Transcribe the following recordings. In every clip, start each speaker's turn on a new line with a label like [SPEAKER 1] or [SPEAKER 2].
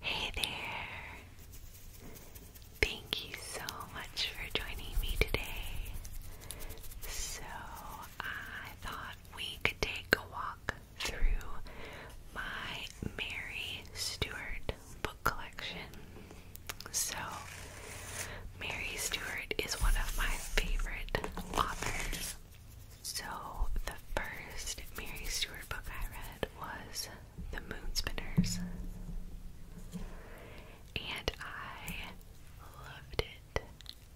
[SPEAKER 1] Hey there! Thank you so much for joining me today. So, I thought we could take a walk through my Mary Stewart book collection. So, Mary Stewart is one of my favorite authors. So, the first Mary Stewart book I read was the Moon Spinners. And I loved it.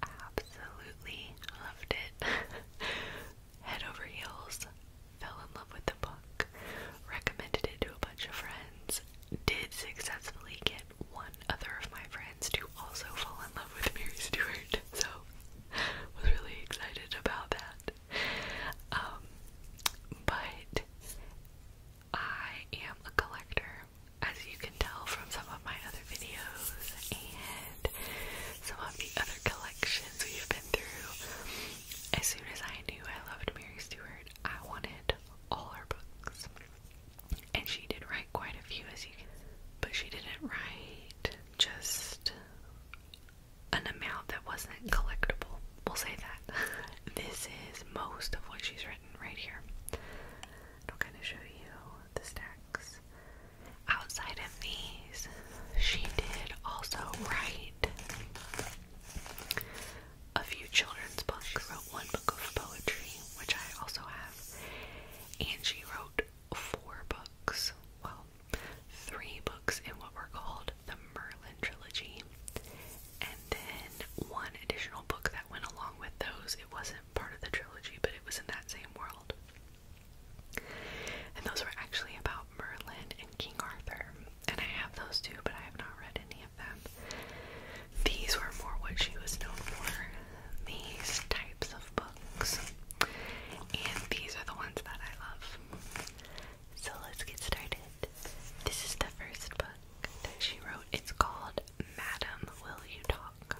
[SPEAKER 1] Absolutely loved it. Head over heels. Fell in love with the book. Recommended it to a bunch of friends. Did successfully get one other of my friends to also fall in love with Mary Stewart. So was really excited about that. Um, but I am a collector, as you can tell from some of my other videos and some of the other collections we've been through. As soon as I knew I loved Mary Stewart, I wanted all her books. And she did write quite a few, as you can, but she didn't write just an amount that wasn't collectible. We'll say that. this is most of what she's written right here. I'll kind of show you the stacks. Outside of these, she did also write a few children's books. wrote one book of poetry, which I also have, and she wrote four books. Well, three books in what were called the Merlin trilogy, and then one additional book that went along with those. It wasn't part of the trilogy, but it was in that same world. And those were actually about Merlin and King Arthur. And I have those too, but I have not read any of them. These were more what she was known for these types of books. And these are the ones that I love. So let's get started. This is the first book that she wrote. It's called Madam Will You Talk?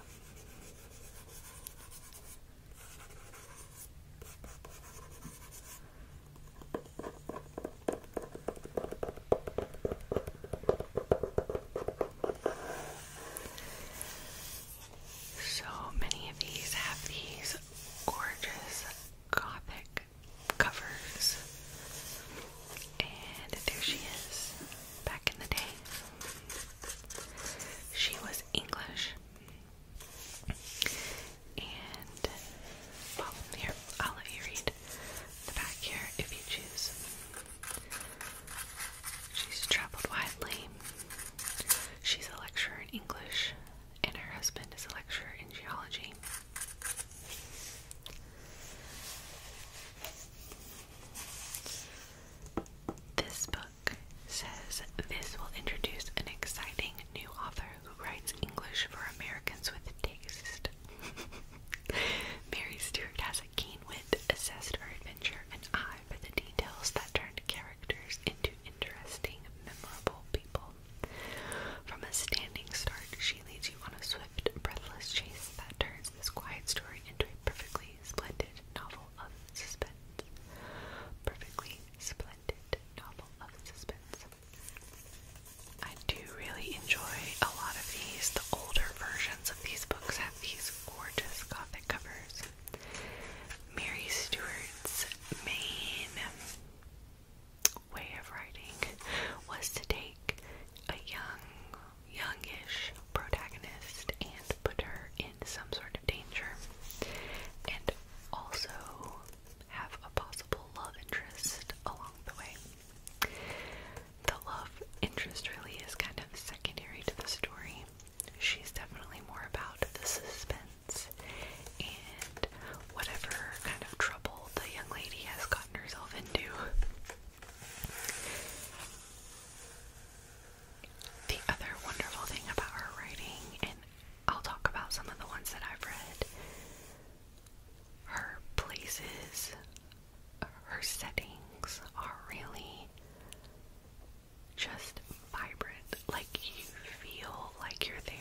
[SPEAKER 1] So many of these have these gorgeous gothic covers. And there she is, back in the day. She was English. And, well, here, I'll let you read the back here if you choose. She's traveled widely. She's a lecturer in English, and her husband is a lecturer in geology. This book says this will introduce an exciting new author who writes English for Americans with taste. Mary Stewart has a keen wit, zest for adventure, an eye for the details that turn characters into interesting, memorable people. From a standing start, she leads you on a swift, breathless chase that turns this quiet story into a perfectly splendid novel of suspense. Perfectly splendid novel of suspense. I do really enjoy a lot of these. The older versions of these books have these gorgeous gothic covers. Mary Stewart's main way of writing was to take a young, youngish protagonist and put her in some sort of danger, and also have a possible love interest along the way. The love interest really is kind of secondary to the story she's definitely more about the suspense and whatever kind of trouble the young lady has gotten herself into. The other wonderful thing about her writing, and I'll talk about some of the ones that I've read, her places, her settings are really just vibrant, like you feel like you're there.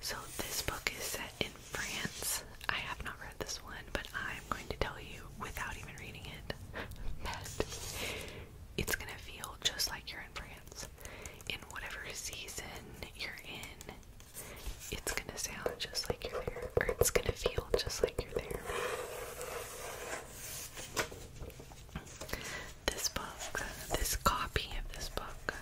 [SPEAKER 1] So, this book is set in France. I have not read this one, but I'm going to tell you without even reading it that it's gonna feel just like you're in France. In whatever season you're in, it's gonna sound just like you're there, or it's gonna feel just like you're there this book, this copy of this book.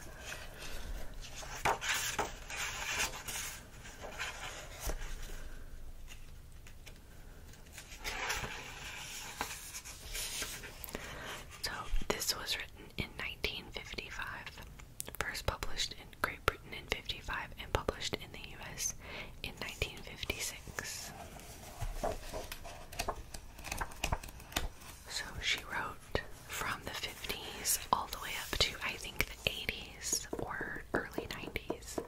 [SPEAKER 1] So, this was written in 1955, first published in Great Britain in 55 and published in the US in 1956. So she wrote from the 50s all the way up to I think the 80s or early 90s.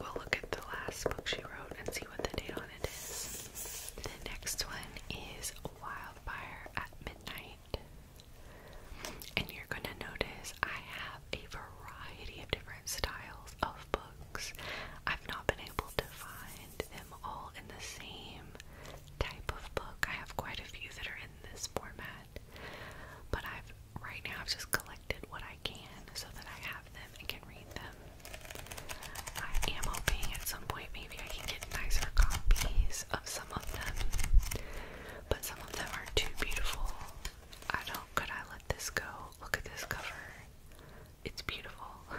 [SPEAKER 1] We'll look at the last book she wrote and see what the date on it is. The next one is Wildfire at Midnight. And you're going to notice I have a variety of different styles of books. I've not been able to find them all in the same type of book. I have quite a few that are in this format, but I've right now I've just collected what I can so that I have them and can read them. I am hoping at some point maybe I can get nicer copies of some of them, but some of them are too beautiful. I don't Oh, could I let this go? Look at this cover. It's beautiful.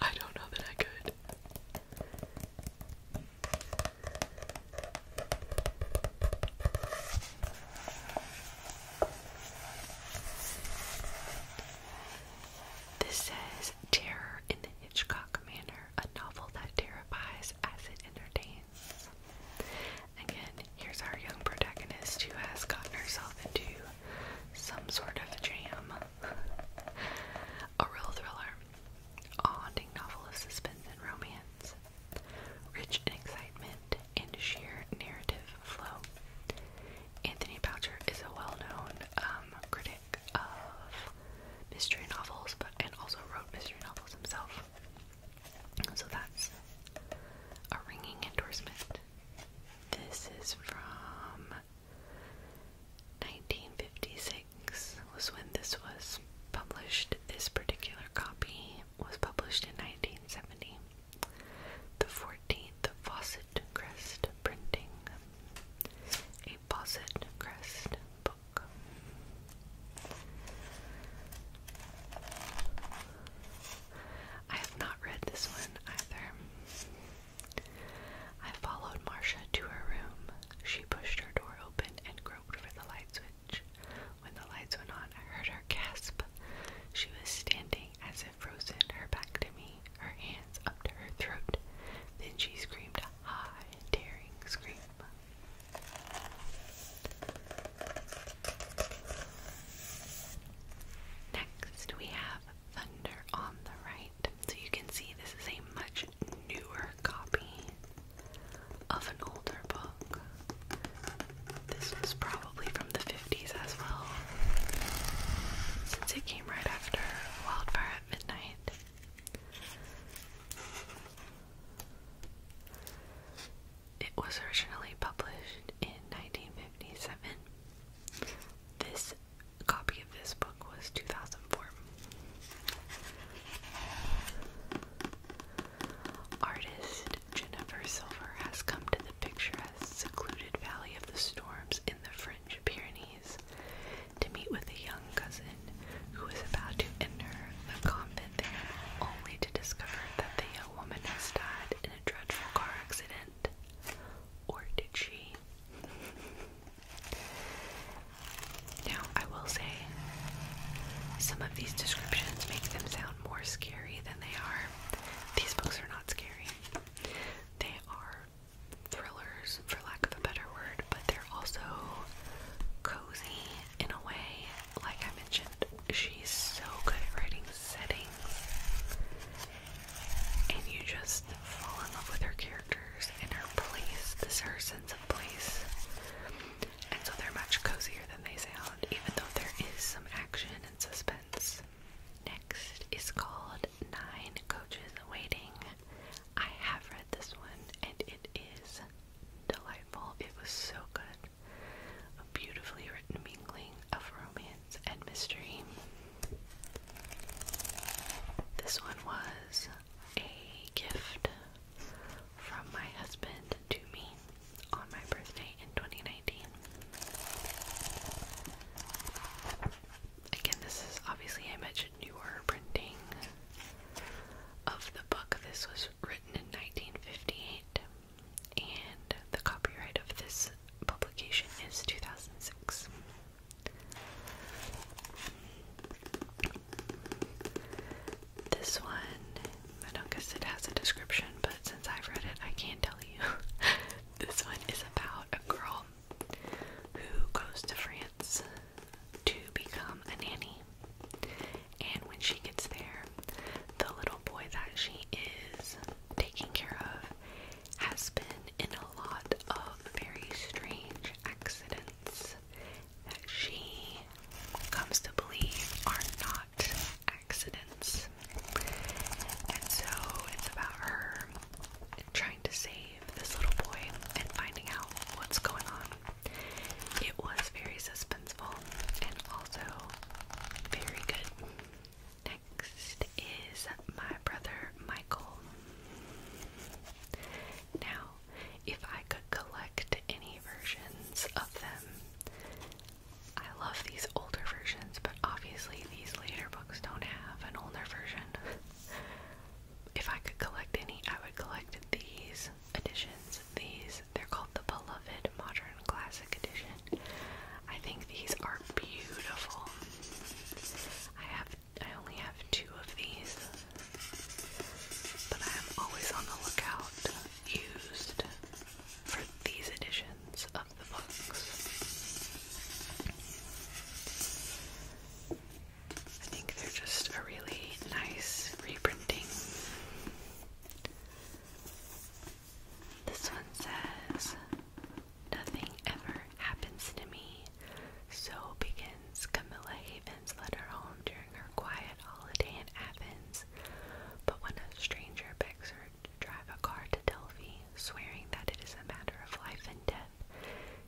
[SPEAKER 1] I don't know that I could. This says Terror in the Hitchcock Manner," a novel that terrifies as it entertains. Again, here's our young protagonist who has gotten herself into some sort of jam. A real thriller, a haunting novel of suspense and romance, rich in excitement and sheer narrative flow. Anthony Boucher is a well-known um, critic of mystery novels, but and also wrote mystery novels himself. So that's a ringing endorsement. This is from 1956 was when this was published. This particular copy was published in 1970. The 14th Fawcett Crest printing. A Fawcett Crest book. I have not read this one either. I followed Marcia to her room. She pushed her door open and groped for the light switch. When the lights went on, I heard her gasp. She was standing as if frozen, her back to me, her hands up to her throat. Then she screamed a high, daring scream. Next, we have Thunder on the right. So you can see this is a much newer copy of an older book. This was probably from the 50s as well, since it came right after Wildfire at Midnight. It was originally published in 1957. This copy of this book was 2004. Artist Jennifer Silver has come to the picturesque, secluded valley of the storms in the French Pyrenees to meet with a young cousin who is about to enter the convent only to discover that the a woman has died in a dreadful car accident? Or did she? now, I will say, some of these descriptions make them sound more scary than they are. These books are not scary, they are thrillers, for lack of a better word, but they're also cozy in a way like I mentioned, she's so good at writing settings, and you just fall in love with her characters and her place, this her sense of place. And so they're much cozier than they sound, even though there is some action and suspense. Next is called Nine Coaches Waiting. I have read this one, and it is delightful. It was so good. A beautifully written mingling of romance and mystery. This one was a gift from my husband to me on my birthday in 2019. Again, this is obviously I mentioned newer printing of the book. This was written in 1958 and the copyright of this publication is 2006. This one, I don't guess it has a description, but since I've read it, I can tell you. this one is about a girl who goes to France to become a nanny. And when she gets there, the little boy that she is taking care of has been in a lot of very strange accidents that she comes to believe are not accidents. And so it's about her trying to save this little boy and finding out what's going on. It was very suspenseful and also very good. Next is my brother Michael. Now, if I could collect any versions of them, I love these older versions, but obviously these later books don't have an older version. if I could collect any, I would collect these these editions. These they're called the Beloved Modern Classic Edition. I think these are beautiful. I have I only have two of these, but I am always on the lookout used for these editions of the books. I think they're just a really nice reprinting. This one says, Nothing ever happens to me. So begins Camilla Havens' letter home during her quiet holiday in Athens. But when a stranger begs her to drive a car to Delphi, swearing that it is a matter of life and death,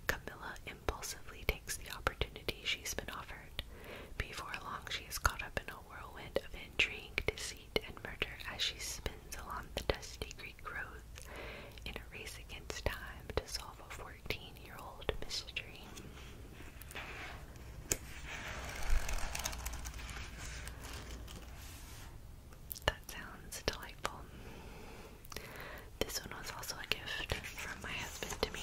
[SPEAKER 1] Camilla impulsively takes the opportunity she's been offered before long, she is caught up in a whirlwind of intrigue, deceit, and murder as she spins along the dusty Greek roads in a race against time to solve a 14 year old mystery. That sounds delightful. This one was also a gift from my husband to me.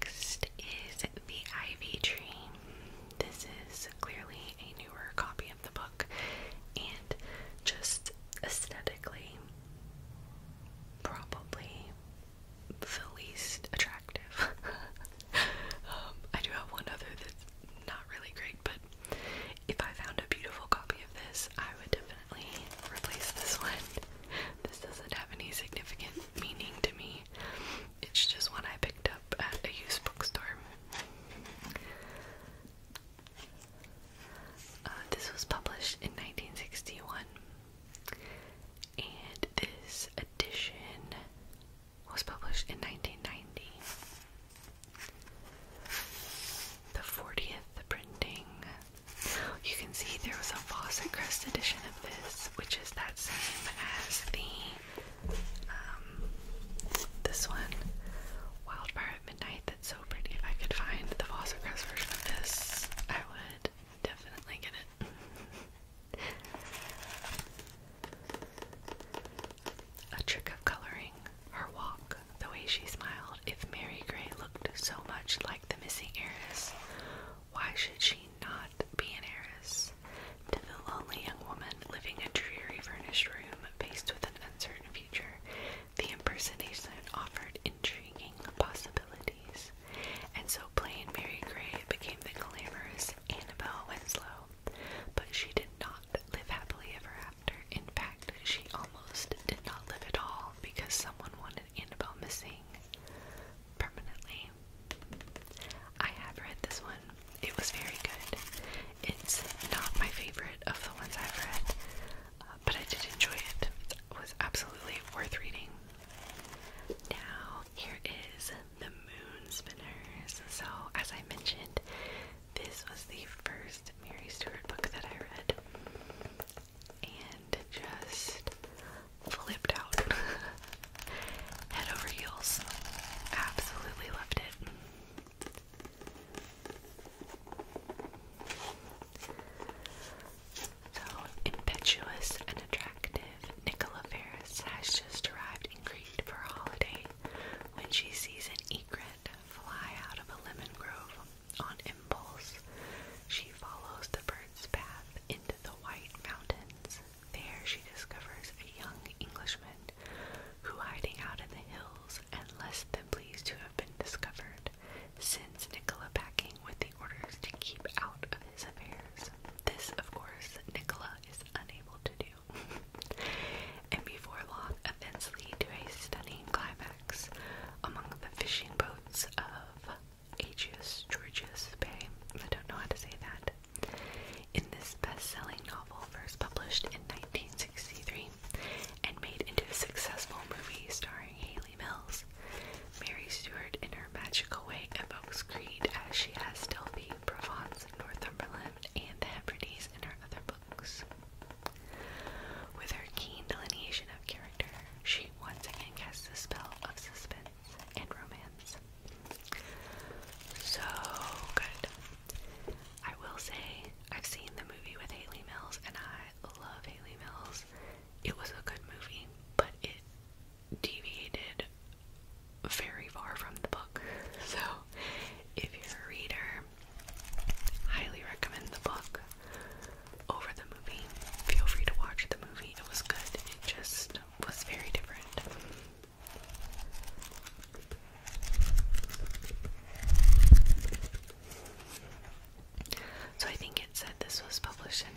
[SPEAKER 1] Next is The Ivy Tree. This is clearly a newer copy of the book, and just aesthetically, probably the least attractive. Um, I do have one other that's not really great, but if I found a beautiful copy of this, I would definitely replace this one. This doesn't have any significant meaning to me. It's just one I picked up at a used bookstore. Uh, this was published in 1961, and this edition was published in 1990. The 40th printing. You can see there was a Fawcett Crest edition of this which is that same as the um this one, Wildfire at Midnight. That's so pretty. If I could find the Fossacross version of this, I would definitely get it. A trick of coloring, her walk, the way she smiled. If Mary Gray looked so much like the missing heiress, why should she not Scott B. and to the lonely young woman living a dreary furnished room faced with an uncertain future. The impersonation offered intriguing possibilities, and so plain Mary Gray became the glamorous Annabelle Winslow. But she did not live happily ever after. In fact, she almost did not live at all because someone wanted Annabelle missing permanently. I have read this one. It was very good. It's not my favorite of the ones I've read, uh, but I did enjoy it. It was absolutely worth reading. Now, here is The Moon Spinners. So, as I mentioned, this was the first Mary Stewart book that I read. And just flipped out. Head over heels. Absolutely loved it. So impetuous and attractive, Nicola Ferris has just arrived in Crete for a holiday when she sees an egret fly out of a lemon grove. On impulse, she follows the bird path into the White Mountains. There she discovers a young Englishman who, hiding out in the hills and less than pleased to have been discovered, sends Nicola packing with the orders to keep out of his affairs. This, of course, Nicola is unable to do. and before long, events lead to a stunning climax among the fishing boats of Agius Georgius Bay, I don't know how to say that. In this best-selling novel, first published in 1963 and made into a successful movie starring Haley Mills, Mary Stuart in her magical way evokes Creed as she has Delphi, Provence, Northumberland, and the Hebrides in her other books. With her keen delineation of character, she once again casts a spell of suspense and romance. So good. I will say, I've seen the movie with Haley Mills, and I love Haley Mills. It was a good movie, but it deviated very far from the book. So, if you're a reader, highly recommend the book over the movie. Feel free to watch the movie. It was good. It just was very different. So I think it said this was published in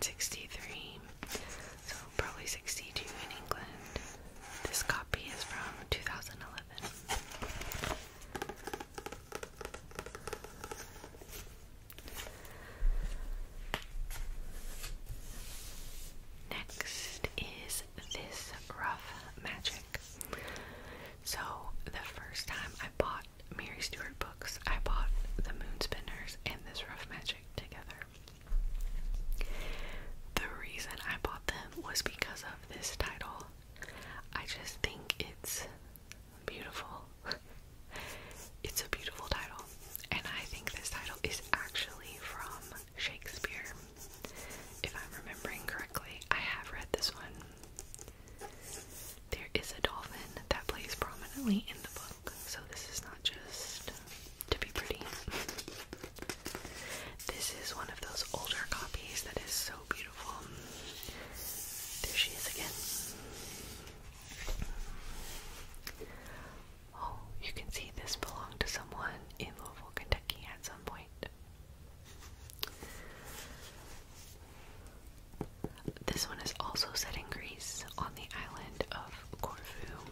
[SPEAKER 1] 1963. So probably 62 in England. This copy is from 2011. Next is this rough magic. So the first time I bought Mary Stewart books, I bought the Moonspinners and this rough magic together. The reason I bought them was because of this title. I just think it's beautiful. it's a beautiful title, and I think this title is actually from Shakespeare, if I'm remembering correctly. I have read this one. There is a dolphin that plays prominently in the book, so this is not just to be pretty. this is one of those older copies that is so beautiful. There she is again. Oh, you can see this belonged to someone in Louisville, Kentucky at some point. This one is also set in Greece on the island of Corfu.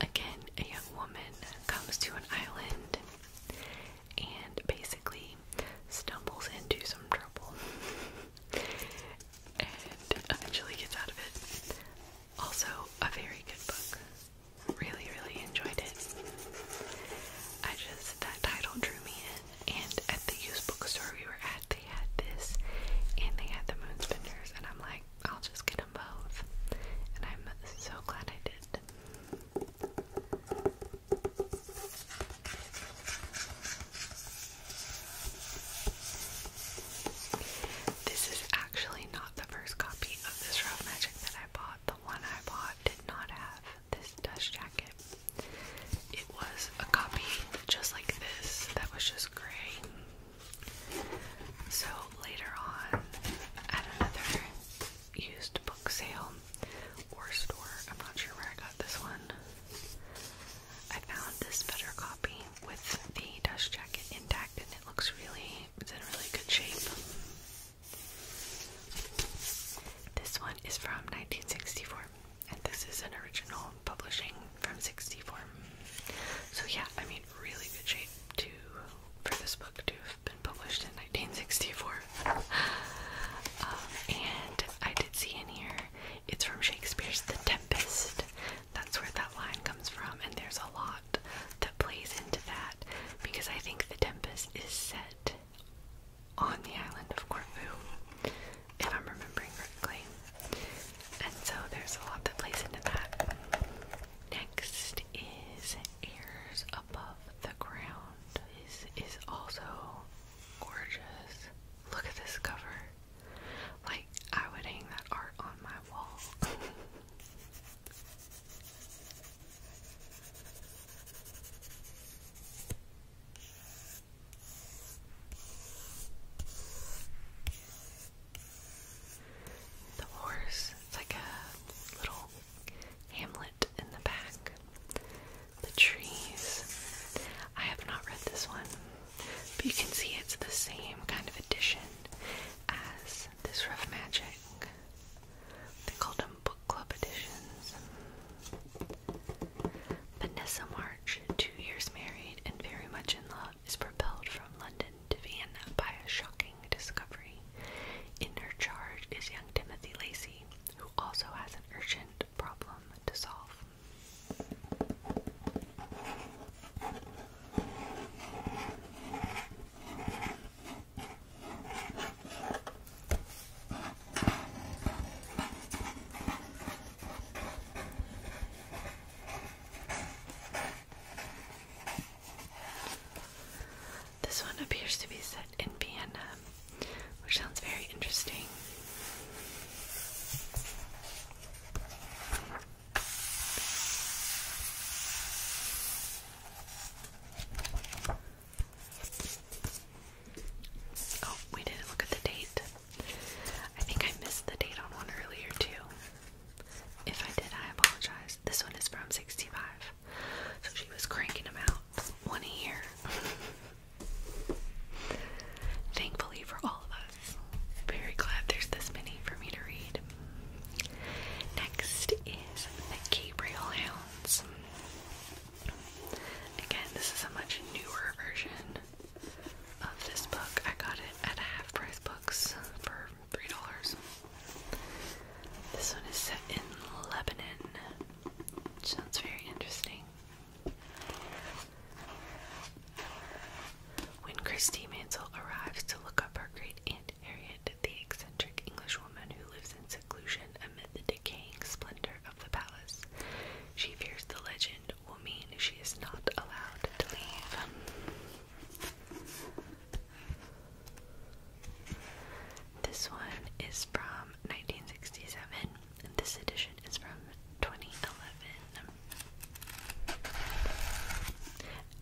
[SPEAKER 1] Again, a young woman comes to an island and basically stumbles into some trouble and eventually gets out of it. Also, a very good book. Really, really enjoyed it. I just, that title drew me in, and at the used bookstore we were at, they had this, and they had the Moonspenders, and I'm like, I'll just get them both. And I'm so glad I did. This is actually not the first copy of this Rough Magic that I bought. The one I bought did not have this dust jacket. It was a copy just like this that was just gray. So later on, at another used book sale or store, I'm not sure where I got this one. I found this better copy with the dust jacket intact, and it looks really, it's in really good shape. This one is from 1964, and this is an original publishing from 64. So yeah, I mean, really good shape to for this book to have been published in 1964. Um, and I did see in here it's from Shakespeare's The Tempest. That's where that line comes from, and there's a lot that plays into that because I think The Tempest is set on the island of Corfu, if I'm remembering correctly. And so there's a lot that plays into that. Next is Airs Above the Ground. This is also gorgeous. Look at this cover. Like, I would hang that art on my wall. the horse, it's like a little hamlet in the back the trees. I have not read this one, but you can see it's the same kind of edition as this Rough Magic. They called them book club editions. Vanessa March, two years married and very much in love, is propelled from London to Vienna by a shocking discovery. In her charge is young Timothy Lacey, who also has an urgent problem to solve. This one appears to be set in Vienna which sounds very interesting. Oh, we didn't look at the date. I think I missed the date on one earlier, too. If I did, I apologize. This one is from 65. So she was cranking them out one a Thankfully for all of us. Very glad there's this many for me to read. Next is The Gabriel Hounds. Again, this is a much newer version of this book. I got it at half price books for three dollars. This one is set in Lebanon. Sounds very interesting. When Christie Mansell arrives to look up her great aunt Harriet, the eccentric Englishwoman who lives in seclusion amid the decaying splendor of the palace, she fears the legend will mean she is not allowed to leave. This one is from 1967, this edition is from 2011.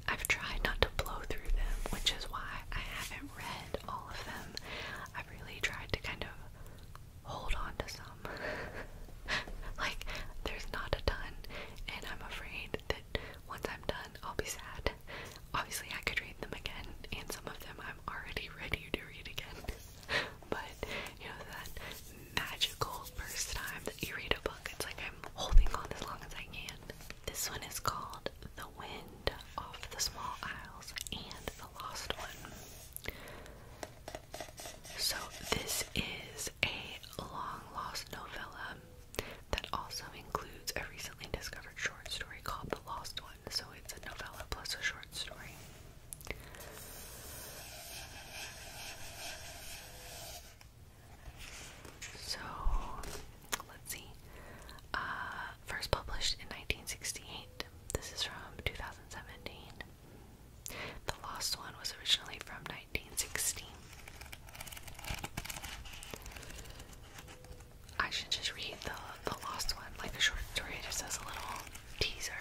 [SPEAKER 1] I've tried not to blow through them, which is why I haven't read all of them. I've really tried to kind of hold on to some. like, there's not a ton, and I'm afraid that once I'm done, I'll be sad. Obviously, I could read them again, and some of them I'm already ready to read again. but you know that magical first time that you read a book, it's like I'm holding on as long as I can. This one is called The Wind Off the Small Isles and the Lost One. So this is a long lost novella that also includes a recently discovered short story called The Lost One. So it's a novella plus a short story. So let's see. Uh, first published in 1968. This is from 2017. The last One was originally from 1916. I should just read the the lost one, like a short story, just as a little teaser.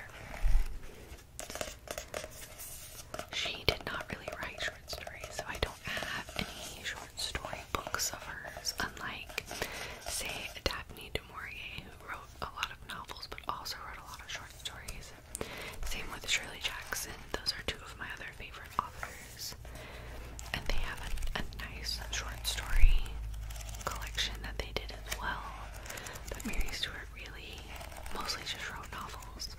[SPEAKER 1] She did not really write short stories, so I don't have any short story books of hers, unlike, say, Daphne du Maurier, who wrote a lot of novels but also wrote a lot of short stories. Same with Shirley Jackson, those are two of my other favorite authors. And they have a nice short story collection that they did well. But Mary Stuart really mostly just wrote novels.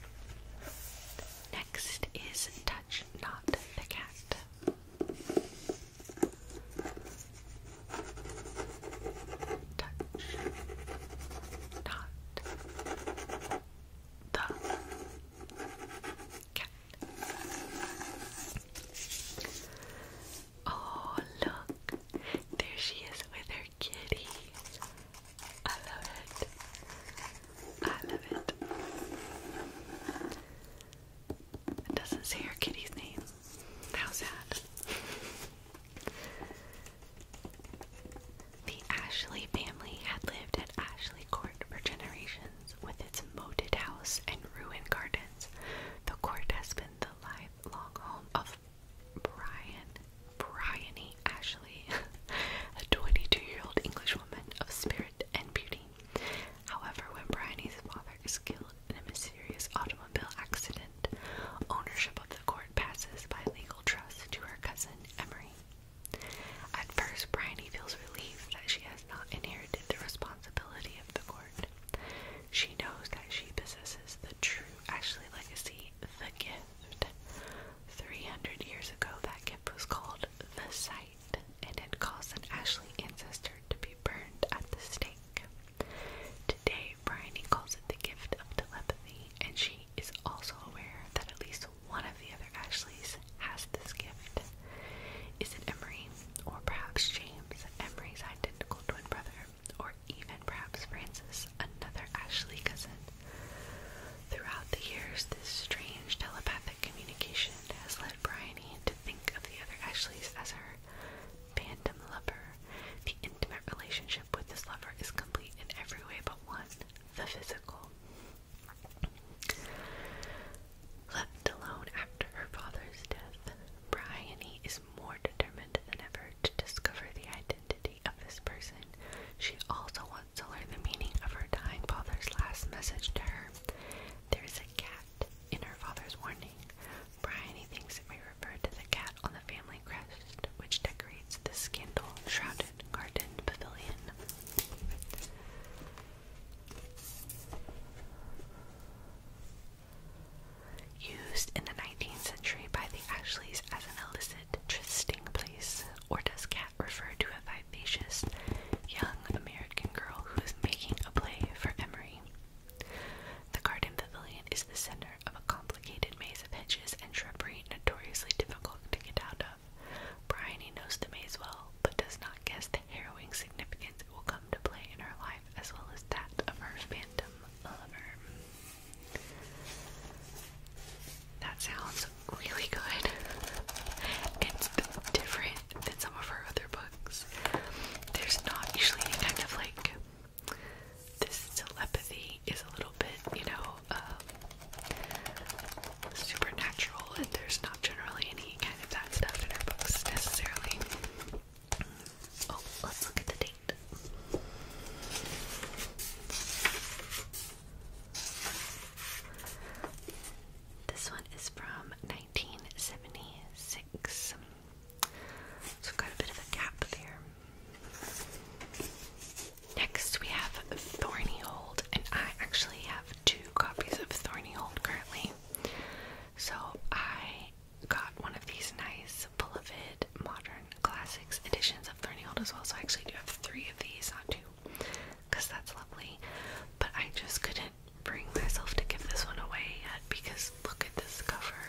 [SPEAKER 1] Next is Touch Not the Cat. Touch Not the Cat. Oh, look. There she is with her kitty. I love it. I love it. It doesn't say her kitty's name. How sad. The Ashley family had lived at Ashley Court for generations its moated house and ruined gardens, the court has been the lifelong home of Brian, Bryony Ashley, a 22-year-old English woman of spirit and beauty. However, when Bryony's father is killed in a mysterious automobile accident, ownership of the court passes by legal trust to her cousin Emery. At first, Bryony feels relieved that she has not inherited the responsibility of the court. She knows that she possesses the true, actually, legacy, the gift. 300 years ago, that gift was called the Sight and it caused an Ashley ancestor to be burned at the stake. Today, Bryony calls it the gift of telepathy, and she is also aware that at least one of the other Ashleys has this gift is. it Emery, or perhaps James, Emery's identical twin brother, or even perhaps Francis, another Ashley cousin? Throughout the years, this strange telepathic communication has led Bryony to think of the other Ashleys as her phantom lover. The intimate relationship with this lover is complete in every way but one the physical. Left alone after her father's death, Bryony is more determined than ever to discover the identity of this person. She also wants to learn the meaning of her dying father's last message to her. There is a cat in her father's warning. Bryony thinks it may refer to the cat on the family crest, which decorates the scandal shrouded garden pavilion. Used in the 19th century by the Ashleys as an illicit trysting place, or does to a vivacious young American girl who is making a play for Emory? The garden pavilion is the center of a complicated maze of hedges and shrubbery notoriously difficult to get out of. Bryony knows the maze well, but does not guess harrowing significance will come to play in her life as well as that of her phantom lover. That sounds really good. It's different than some of her other books. There's not usually any kind of like this telepathy is a little bit, you know, uh, supernatural, and there's not generally any kind of that stuff in her books necessarily. Oh, let's look at the date. This one is from 1976. So got a bit of a gap there. Next we have Thorny and I actually have two copies of Thorny currently. So I got one of these nice Beloved Modern Classics editions of Learning Old as well. So I actually do have three of these, on two, because that's lovely. But I just couldn't bring myself to give this one away yet because look at this cover.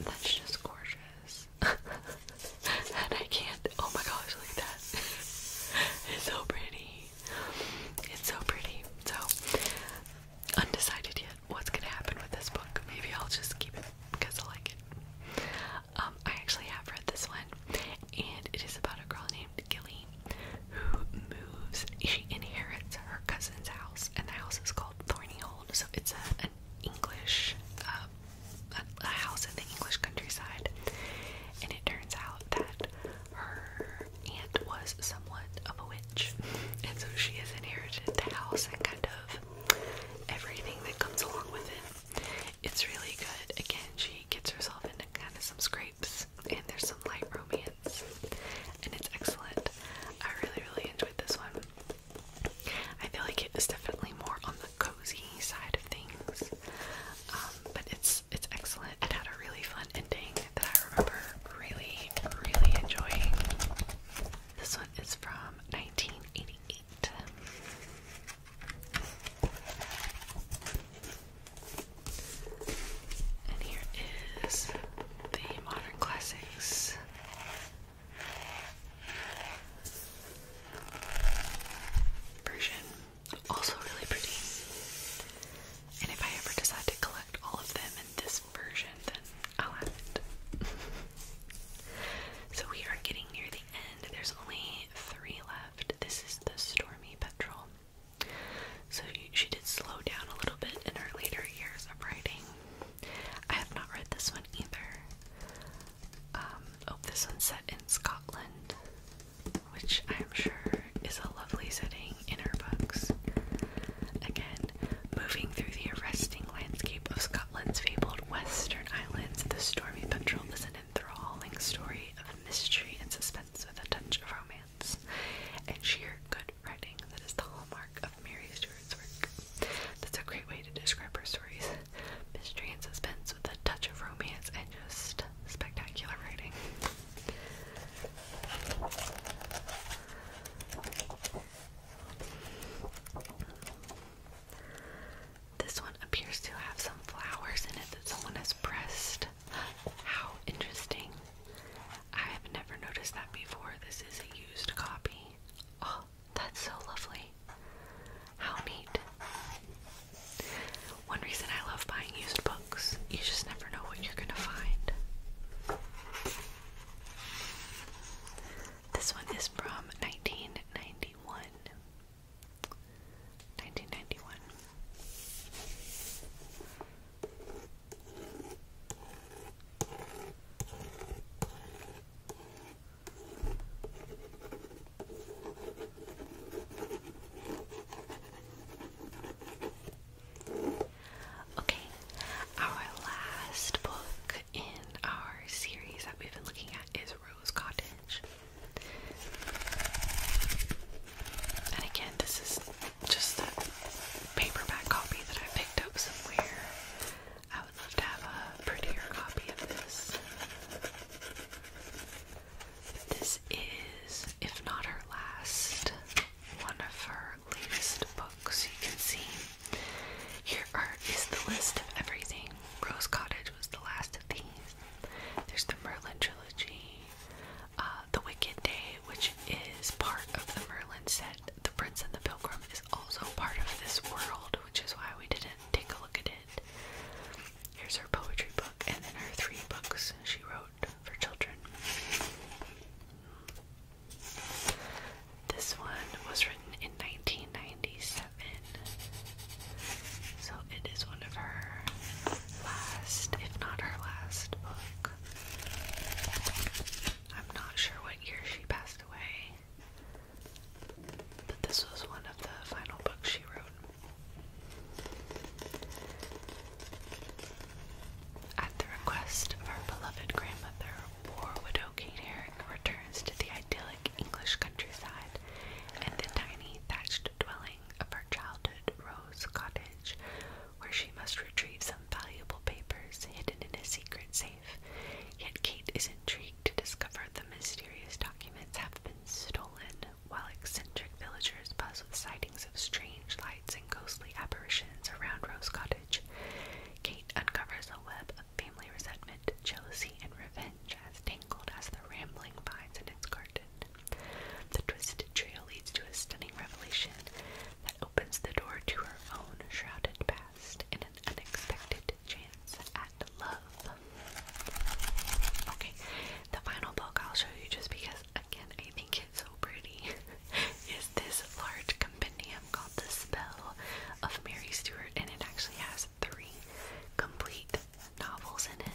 [SPEAKER 1] That's just gorgeous. and I can't. Oh my gosh, look at that. it's so pretty. It's so pretty. So undecided yet what's gonna happen with this book. Maybe I'll just keep it because I like it. Um, I actually have read this one, and it is about a girl named Gilly who moves. She inherits her cousin's house, and the house is called Thorny Hold. So it's an English, uh, house in the English countryside, and it turns out that her aunt was somewhat of a witch, and so she has inherited the house and kind of everything that comes along with it. It's really good. Again, she gets herself into kind of some scrapes, and there's some light romance, and it's excellent. I really, really enjoyed this one. I feel like it is definitely more on the cozy side of things, um, but it's it's excellent. It had a really fun ending that I remember really, really enjoying. This one is from 1988. And here is the Modern Classics. Version. Also really pretty. And if I ever decide to collect all of them in this version, then I'll have it. so we are getting near the end. There's only three left. This is the Stormy Petrel. So she did slow down a little bit in her later years of writing. I have not read this one either. Um, oh, this one set in Scotland which I'm sure is a lovely setting in her books. Again, moving through the arresting landscape of Scotland's fabled western islands, the Stormy Petrel is an enthralling story of mystery and suspense with a touch of romance and sheer good writing that is the hallmark of Mary Stewart's work. That's a great way to describe her stories. Mystery and suspense with a touch of romance and just spectacular writing. This one appears to have some flowers in it that someone has pressed. How interesting. I have never noticed that before. This is a used copy. Oh, that's so lovely. How neat. One reason I love buying used books, you just never know what you're gonna find. This one is from 1991. 1991. Okay, our last book in our series that we've been looking at is Rose Cottage. And again, this is just a paperback copy that I picked up somewhere. I would love to have a prettier copy of this. this is, if not her last, one of her latest books. You can see here art is the list of everything. Rose Cottage was the last of these. There's the Merlin trilogy, uh, The Wicked Day, which is part of the Merlin set. The Prince and the Pilgrim is also part of this world, which is why we didn't take a look at it. Here's her poetry book, and then her three books she wrote for children. This one was written in 1997, so it is one of her last, if not her last, book. I'm not sure what year she passed away, but this was one of the final books she wrote. At the request of our beloved grandmother, poor widow Kate Herrick returns to the idyllic English countryside and the tiny thatched dwelling of her childhood Rose Cottage, where she must retrieve some valuable papers hidden in a secret safe. Yet Kate is intrigued to discover the mysterious documents have been stolen while eccentric villagers buzz with sightings of strange lights and ghostly apparitions around Rose Cottage, Kate uncovers a web of family resentment, jealousy, and revenge as tangled as the rambling vines in its garden. The twisted trail leads to a stunning revelation that opens the door to her own shrouded past and an unexpected chance at love. Okay, the final book I'll show you just because, again, I think it's so pretty is this large compendium called The Spell of Mary Stuart, and it actually has three complete novels in it.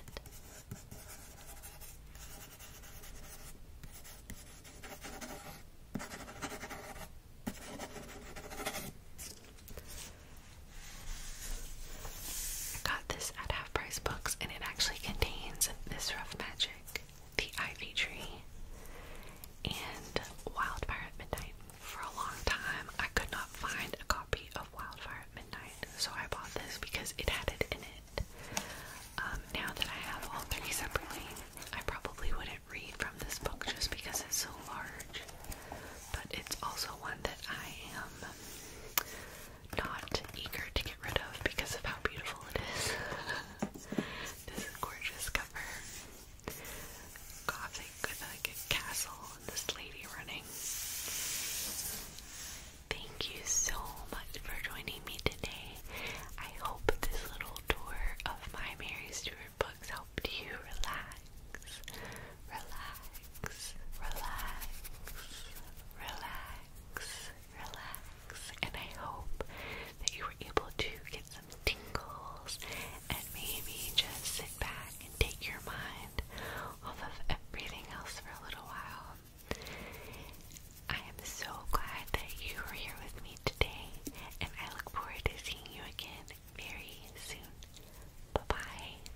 [SPEAKER 1] I got this at Half Price Books, and it actually contains this Rough Magic, the Ivy Tree, and Wildfire at Midnight. For a long time, I could not find a copy of Wildfire at Midnight, so I bought this because it had it in it. Um, now that I have all three separately, I probably wouldn't read from this book just because it's so large, but it's also one that I am not eager to get rid of because of how beautiful it is. this gorgeous cover. Gothic with like a castle and this lady running. Thank you so much for joining me today. I hope this little tour of my Mary Stuart books helped you relax relax, relax, relax, relax. And I hope that you were able to get some tingles and maybe just sit back and take your mind off of everything else for a little while. I am so glad that you were here with me today, and I look forward to seeing you again very soon. Bye bye.